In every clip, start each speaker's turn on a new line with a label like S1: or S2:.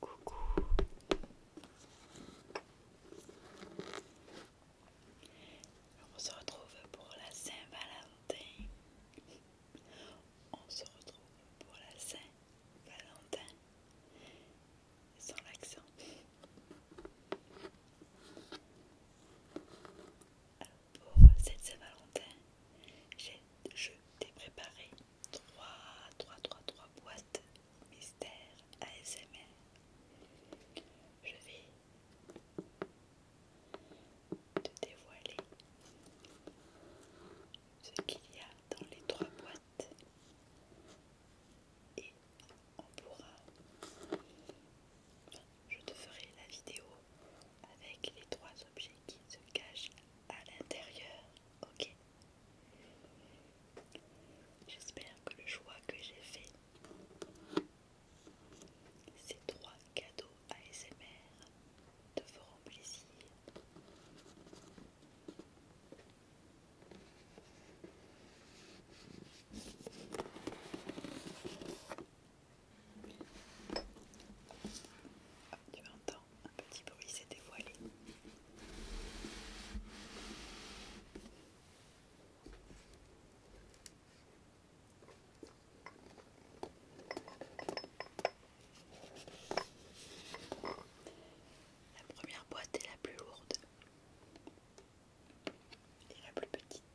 S1: Coucou. on se retrouve pour la Saint-Valentin. On se retrouve pour la Saint-Valentin. Sans l'accent. pour cette Saint-Valentin, j'ai je t'ai préparé trois, 3, 3, boîtes mystères ASMR. Je vais te dévoiler ce qu'il y a dans les trois boîtes et on pourra, je te ferai la vidéo avec les trois objets qui se cachent à l'intérieur. Ok J'espère que le choix que j'ai fait, ces trois cadeaux ASMR, te feront plaisir. Tu entends un petit bruit s'est dévoilé. La première boîte est la plus lourde et la plus petite.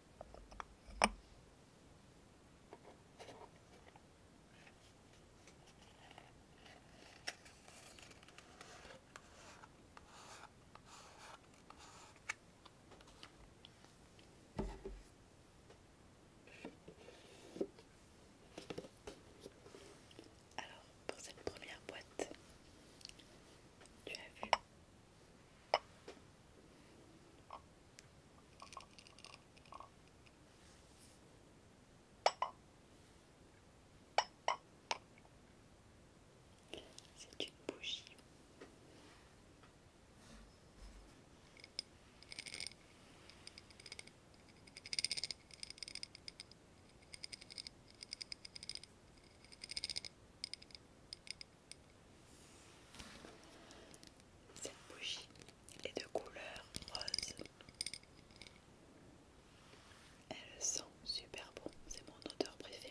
S1: Alors, pour cette première boîte, tu as vu c'est une bougie. Cette bougie est de couleur rose. Elle sent super bon, c'est mon odeur préférée.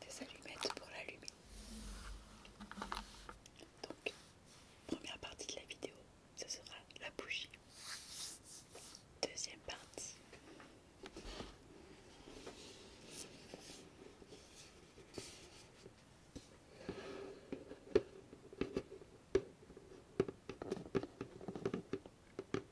S1: des allumettes pour l'allumer. Donc, première partie de la vidéo, ce sera la bougie. Deuxième partie.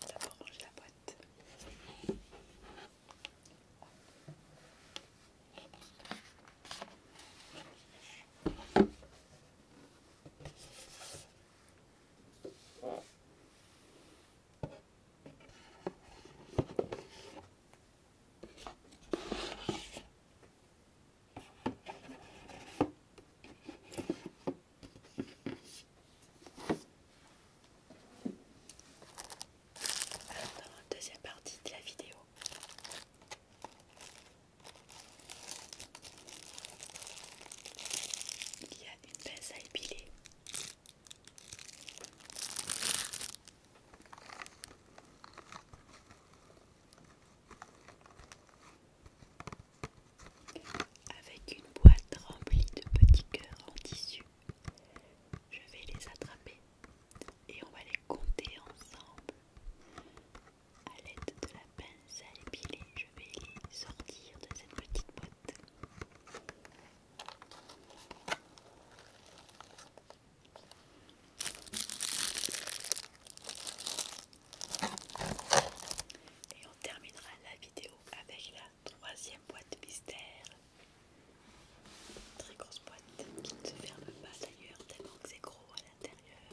S1: Ça la boîte dans la deuxième partie de la vidéo. Il y a une baisse à épiler. Avec une boîte remplie de petits cœurs en tissu, je vais les attraper et on va les compter ensemble. A l'aide de la pince à épiler, je vais les sortir de cette petite boîte. Et on terminera la vidéo avec la troisième boîte mystère. Très grosse boîte qui ne se ferme pas d'ailleurs tellement que c'est gros à l'intérieur.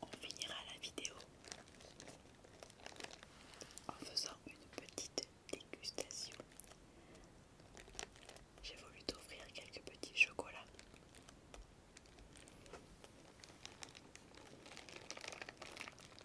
S1: On finira la vidéo en faisant une petite dégustation. J'ai voulu t'offrir quelques petits chocolats.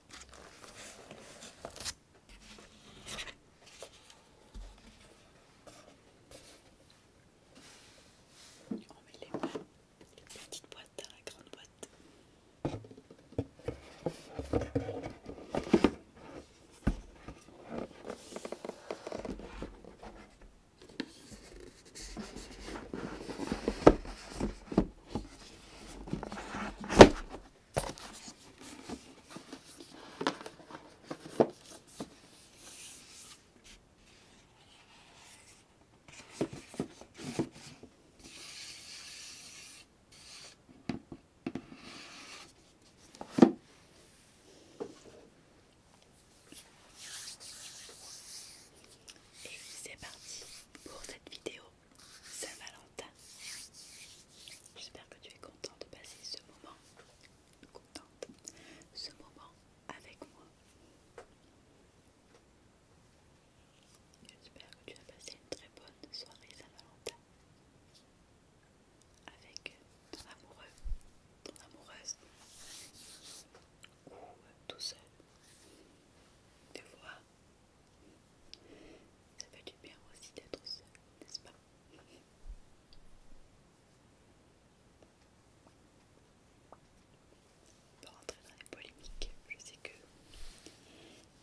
S1: On met les, les petites boîtes dans la grande boîte. Et c'est parti pour cette vidéo. Saint-Valentin. J'espère que tu es content de passer ce moment, contente, ce moment avec moi. J'espère que tu as passé une très bonne soirée Saint-Valentin avec ton amoureux, ton amoureuse ou euh, tout seul. Tu vois, ça fait du bien aussi d'être seul, n'est-ce pas Pour rentrer dans les polémiques, je sais que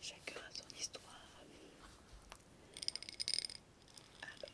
S1: chacun a son histoire. Alors,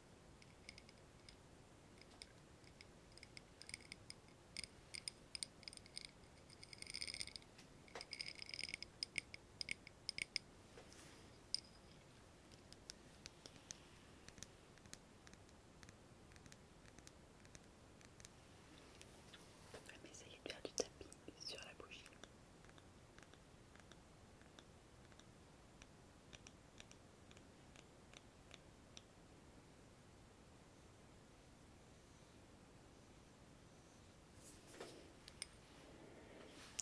S1: Je vais essayer de faire du tapis sur la bougie.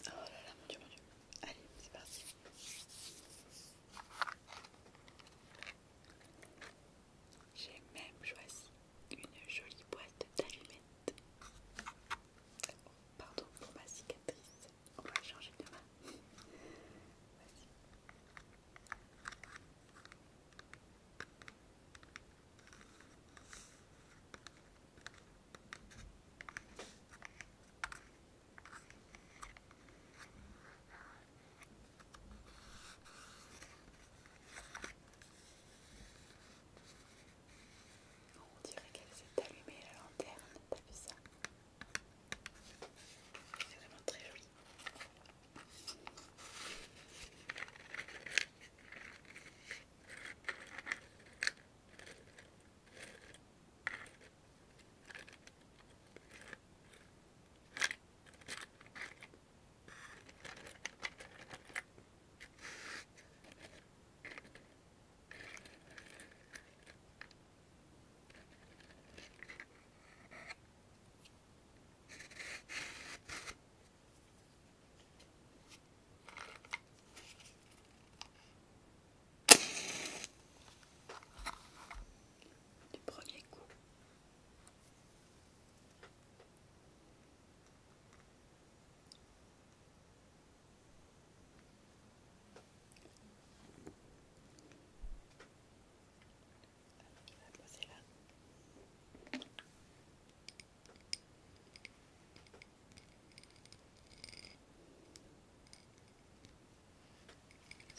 S1: Oh là là, mon dieu, mon dieu. Allez, c'est parti. J'ai même choisi une jolie boîte d'allumettes. Oh, pardon pour ma cigarette. On va changer de main. On dirait qu'elle s'est allumée la lanterne, t'as vu ça C'est vraiment très joli du premier coup va Est-ce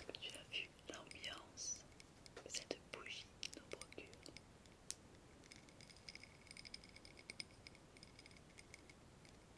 S1: que tu as vu l'ambiance de cette bougie nous procure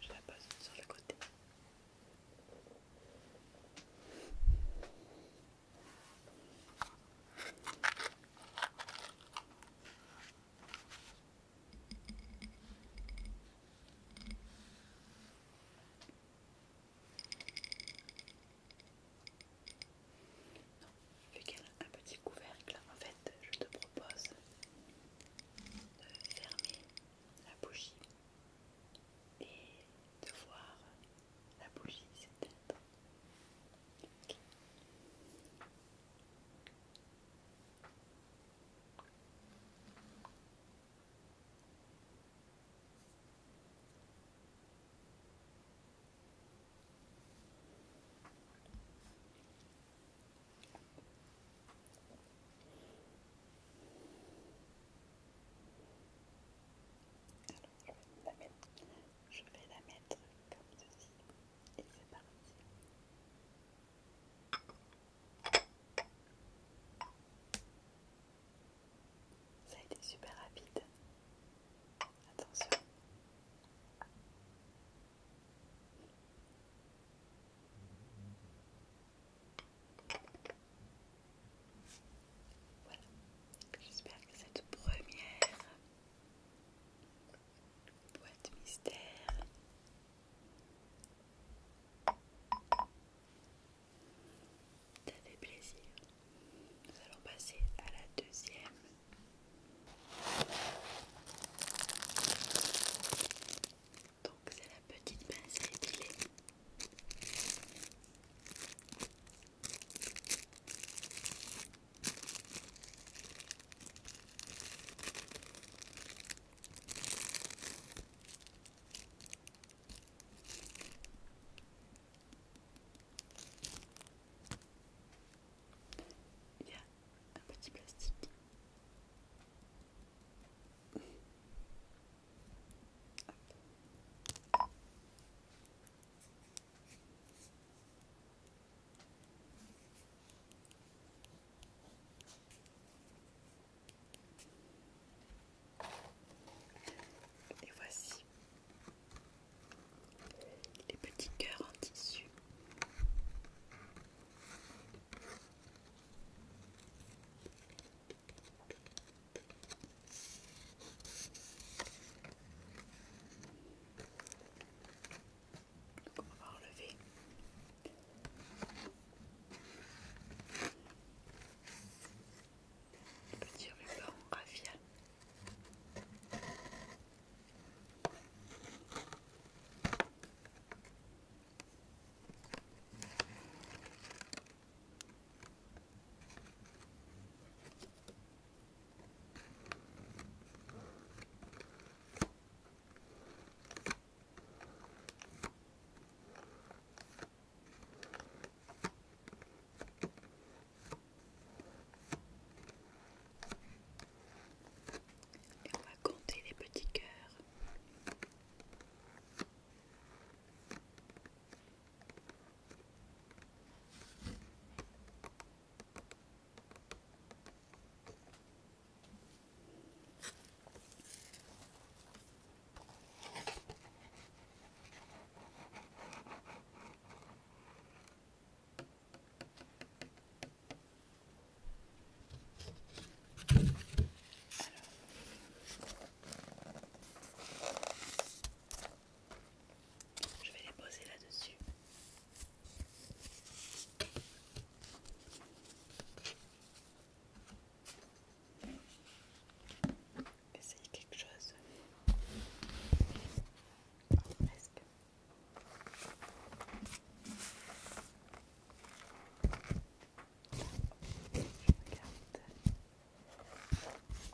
S1: Je la pose sur le côté vu qu'elle a un petit couvercle, en fait, je te propose de fermer la bougie et de voir la bougie s'éteindre. Alors, je, vais la je vais la mettre comme ceci et c'est parti. Ça a été super rapide. Attention. Voilà. J'espère que cette première boîte mystère ça plaisir. Nous allons passer à la deuxième. Donc c'est la petite pince épilée. Il y a un petit plastique. Et voici les petits cœurs en tissu. on va enlever Petit ruban on va compter les petits cœurs je vais les poser là-dessus. Essayez quelque chose. presque. Je regarde.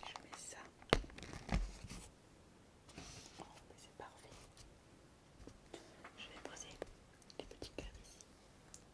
S1: Je mets ça. Oh, mais c'est parfait. Je vais poser les petits cœurs ici.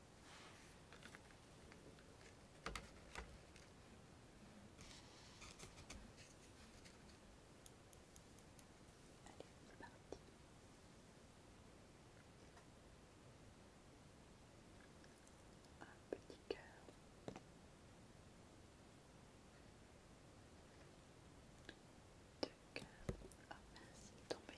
S1: Un petit cœur. Deux cœurs. Ah oh, tombé.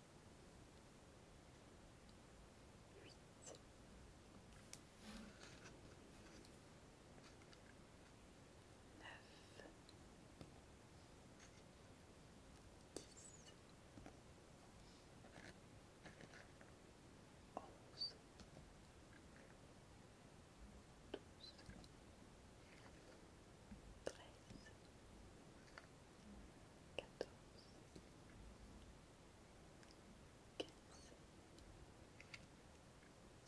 S1: Huit, Neuf. Dix. Onze. Douze. Treize quatorze, quinze,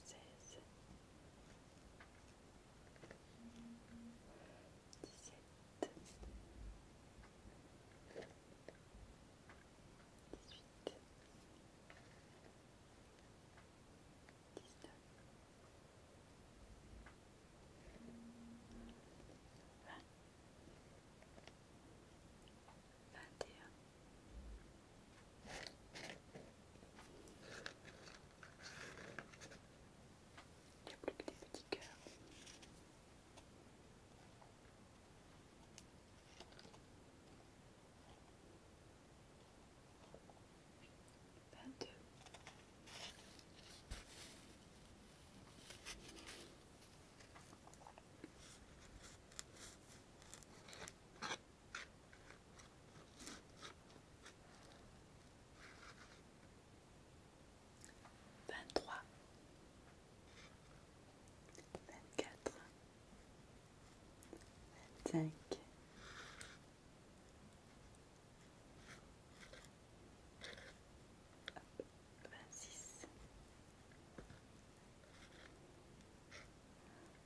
S1: seize, dix-sept, dix-huit, dix-neuf vingt et plus que des petits cœurs. 22. Vingt-trois, vingt-quatre, vingt-cinq, vingt-sept, vingt-huit,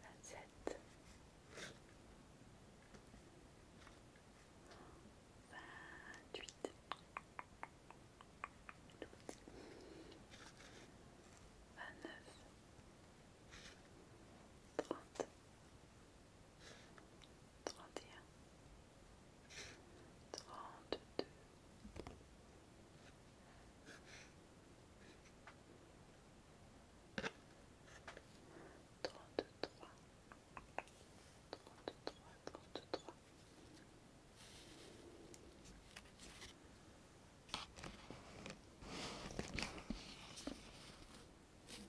S1: Vingt-neuf, trente, trente et un, trente deux, trente trois, trente trois, trente trois. Trente-quatre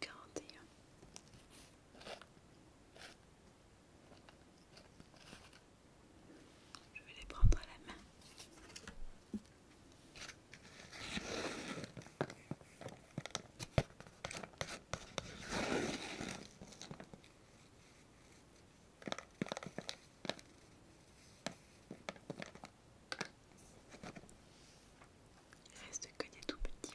S1: 41. Je vais les prendre à la main. reste que des tout petits.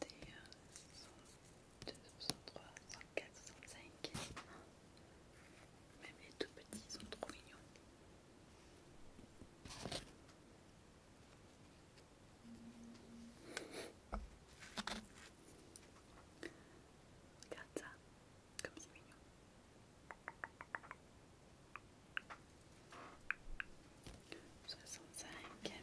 S1: des 102, 103, 104, 105. Même les tout petits sont trop mignons. Regarde ça, comme c'est mignon. 65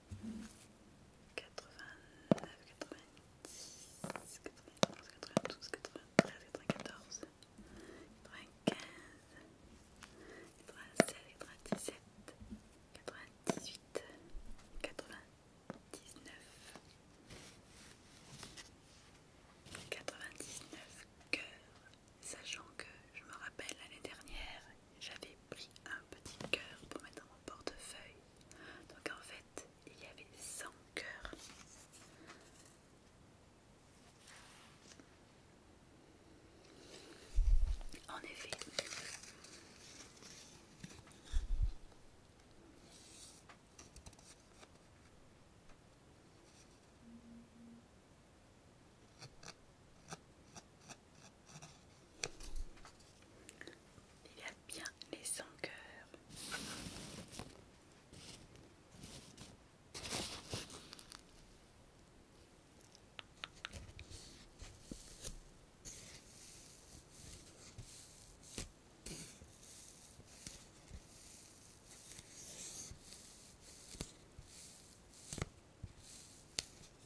S1: 89, 90, 91, 92, 93, 94, 95, 96, 97, 98, 99, 99 cœurs, sachant que je me rappelle l'année dernière, j'avais pris un petit cœur pour mettre dans mon portefeuille donc en fait, il y avait 100 cœurs. En effet. Il y a bien les cœur.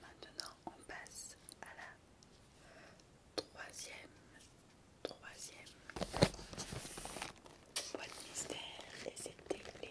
S1: Maintenant, on passe à la troisième, troisième boîte mystère et c'était les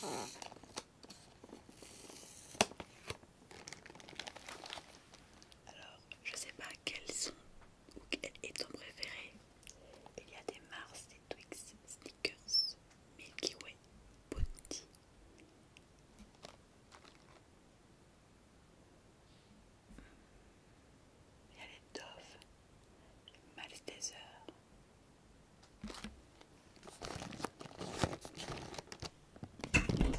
S1: Alors, je sais pas quels sont quel est ton préféré Il y a des Mars, des Twix, Sneakers Milky Way, Bounty. Il y a les Dove, les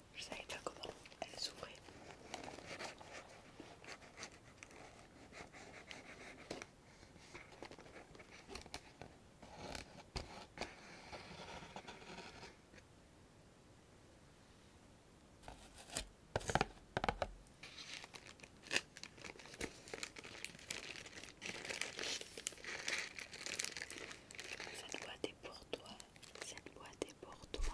S1: Je savais pas comment elle s'ouvrait. Ça doit être pour toi cette boîte est pour toi.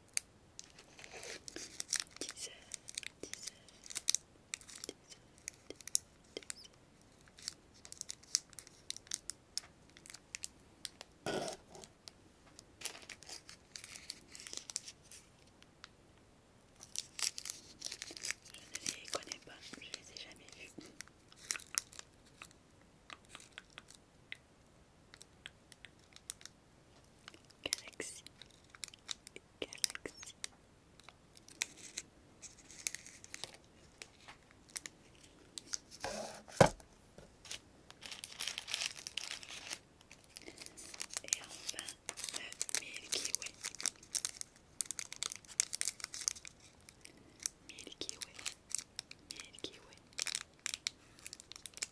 S1: Je ne les connais pas, je les ai jamais vus. Galaxy, Galaxy, Et enfin, le Milky Way. Milky Milky Way.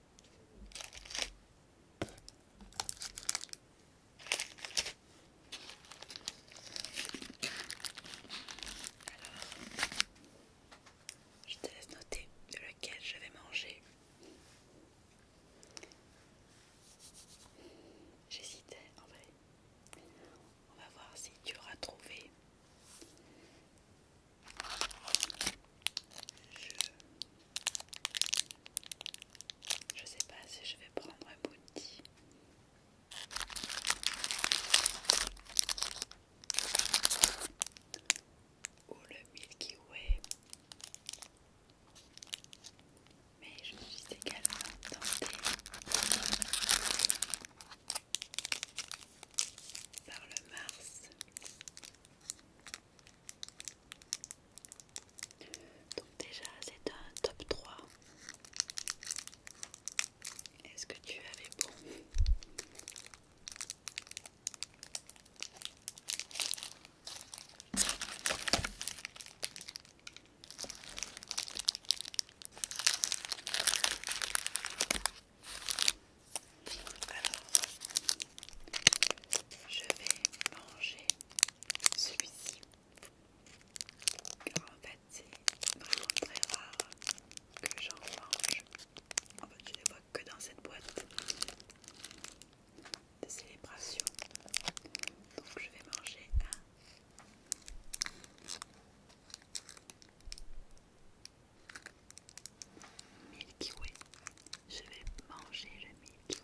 S1: Alors, je te laisse noter lequel je vais manger. J'hésitais en vrai. On va voir si tu auras trouvé. Je sais pas si je vais prendre un bouti. Ou oh, le Milky Way. Mais je suis également tentée par le Mars. Donc déjà c'est un top 3. Est-ce que tu avais bon alors, je vais manger celui-ci. En fait, c'est vraiment très rare que j'en mange. En fait, je les vois que dans cette boîte de célébration. Donc, je vais manger un. Milky Way. Je vais manger le Milky Way.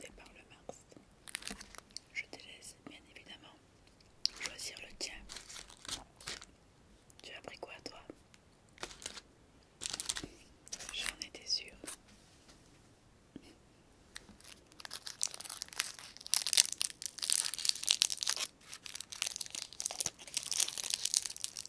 S1: mais par le Mars. Je te laisse, bien évidemment, choisir le tien. Tu as pris quoi, toi J'en étais sûre.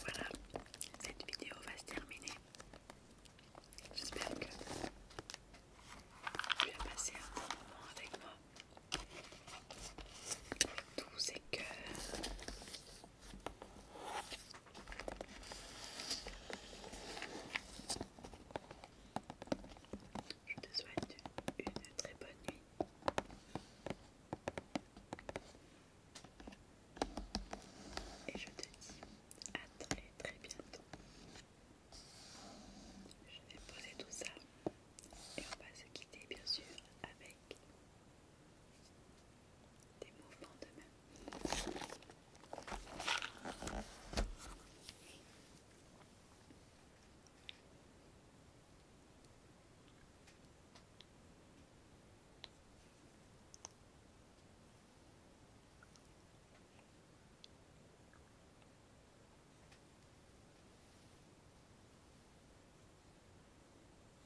S1: Voilà, cette vidéo va se terminer. J'espère que tu as passé un bon moment avec moi. tous ces je te souhaite une très bonne nuit. Et je te dis à très très bientôt. Je vais poser tout ça et on va se quitter bien sûr avec des mouvements de même.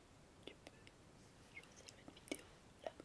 S1: tu peux choisir une vidéo là, là.